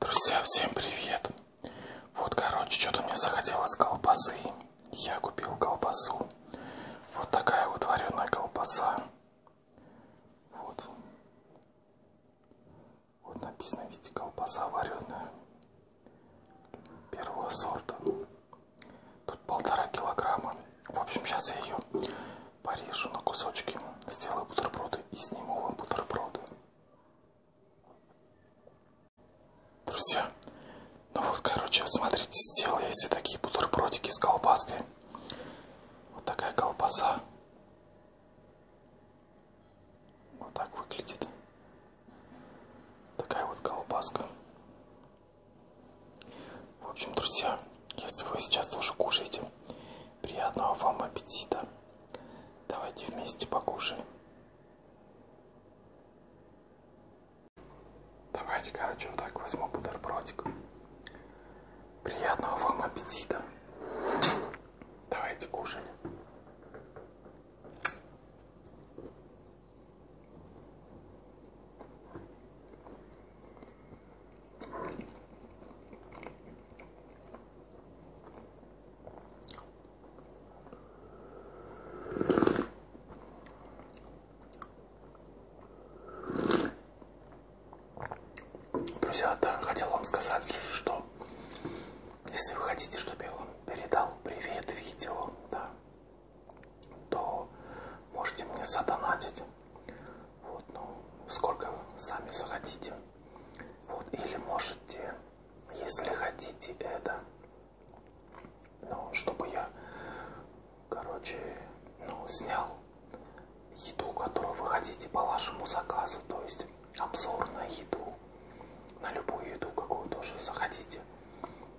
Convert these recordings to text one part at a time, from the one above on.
Друзья, всем привет! Вот, короче, что-то мне захотелось колбасы. Я купил колбасу. Вот такая вот вареная колбаса. Вот. Вот написано, видите, колбаса вареная. Первого сорта. Тут полтора килограмма. В общем, сейчас я ее порежу на кусочки, сделаю бутерброды и сниму вам бутерброды. Друзья, ну вот, короче, смотрите, сделал я себе такие бутербродики с колбаской. Вот такая колбаса. Вот так выглядит. Такая вот колбаска. В общем, друзья, если вы сейчас тоже кушаете, приятного вам аппетита. Давайте вместе покушаем. Давайте, короче, вот так возьму бутербродик. Приятного вам аппетита. Давайте кушать. Друзья, да, хотел вам сказать, что если вы хотите, чтобы я вам передал привет видео, да, то можете мне задонатить вот, ну, сколько сами захотите. Вот, или можете, если хотите это, ну, чтобы я, короче, ну, снял еду, которую вы хотите по вашему заказу, то есть обзор на еду, на любую еду, какую тоже захотите.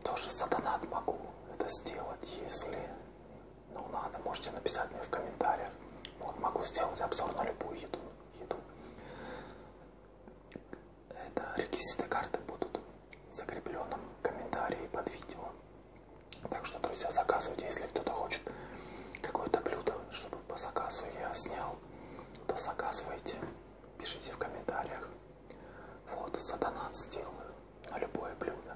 Тоже за донат могу это сделать, если ну надо, можете написать мне в комментариях. Вот, могу сделать обзор на любую еду еду. Это реквизиты карты будут в закрепленном комментарии под видео. Так что, друзья, заказывайте, если кто-то хочет какое-то блюдо, чтобы по заказу я снял, то заказывайте, пишите в комментариях. Вот, за донат сделаю на любое блюдо.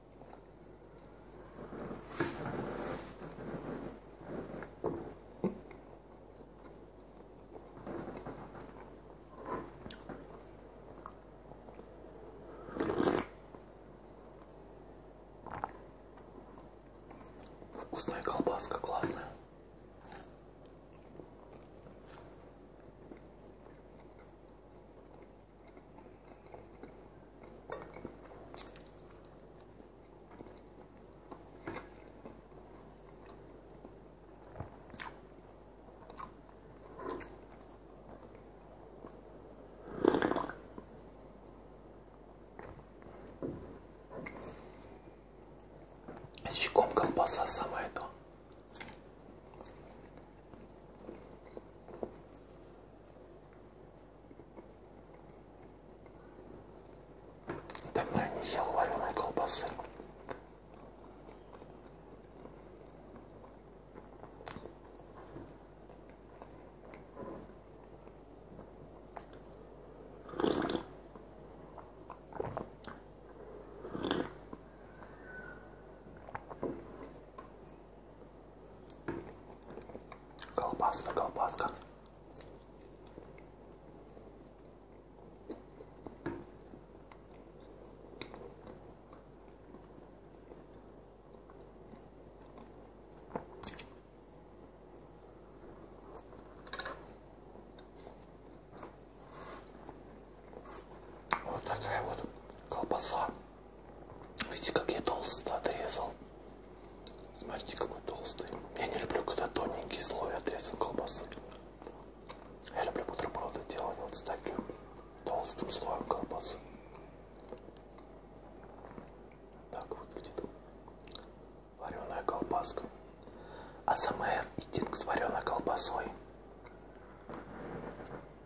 Вкусная колбаска, классная. Щеком колбаса самое то. Давно я не ел вареной колбасы. Колбаса-то колбаска. Вот такая вот колбаса. Видите, как я толсто отрезал. Смотрите, какой толстый. Я не люблю, когда тоненький слой отрезан колбасы. Я люблю бутерброды делать вот с таким толстым слоем колбасы. Так выглядит вареная колбаска. АСМР и тинг с вареной колбасой.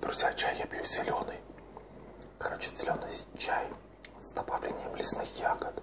Друзья, чай я пью зеленый. Короче, зеленый чай с добавлением лесных ягод.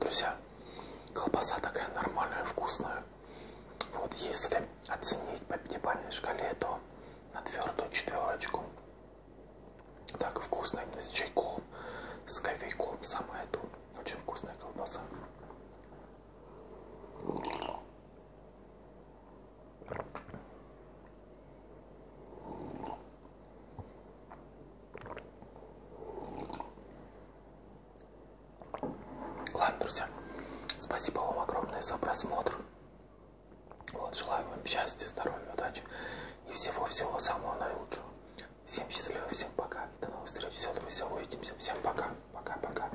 Друзья, колбаса такая нормальная, вкусная. Вот если оценить по пятибалльной шкале, то на твердую четверочку. Так вкусно именно с чайком, с кофейком, самое то. Очень вкусная колбаса. Ладно, друзья, спасибо вам огромное за просмотр. Вот, желаю вам счастья, здоровья, удачи и всего-всего самого наилучшего. Всем счастливо, всем пока. До новых встреч. Все, друзья, увидимся. Всем пока. Пока-пока.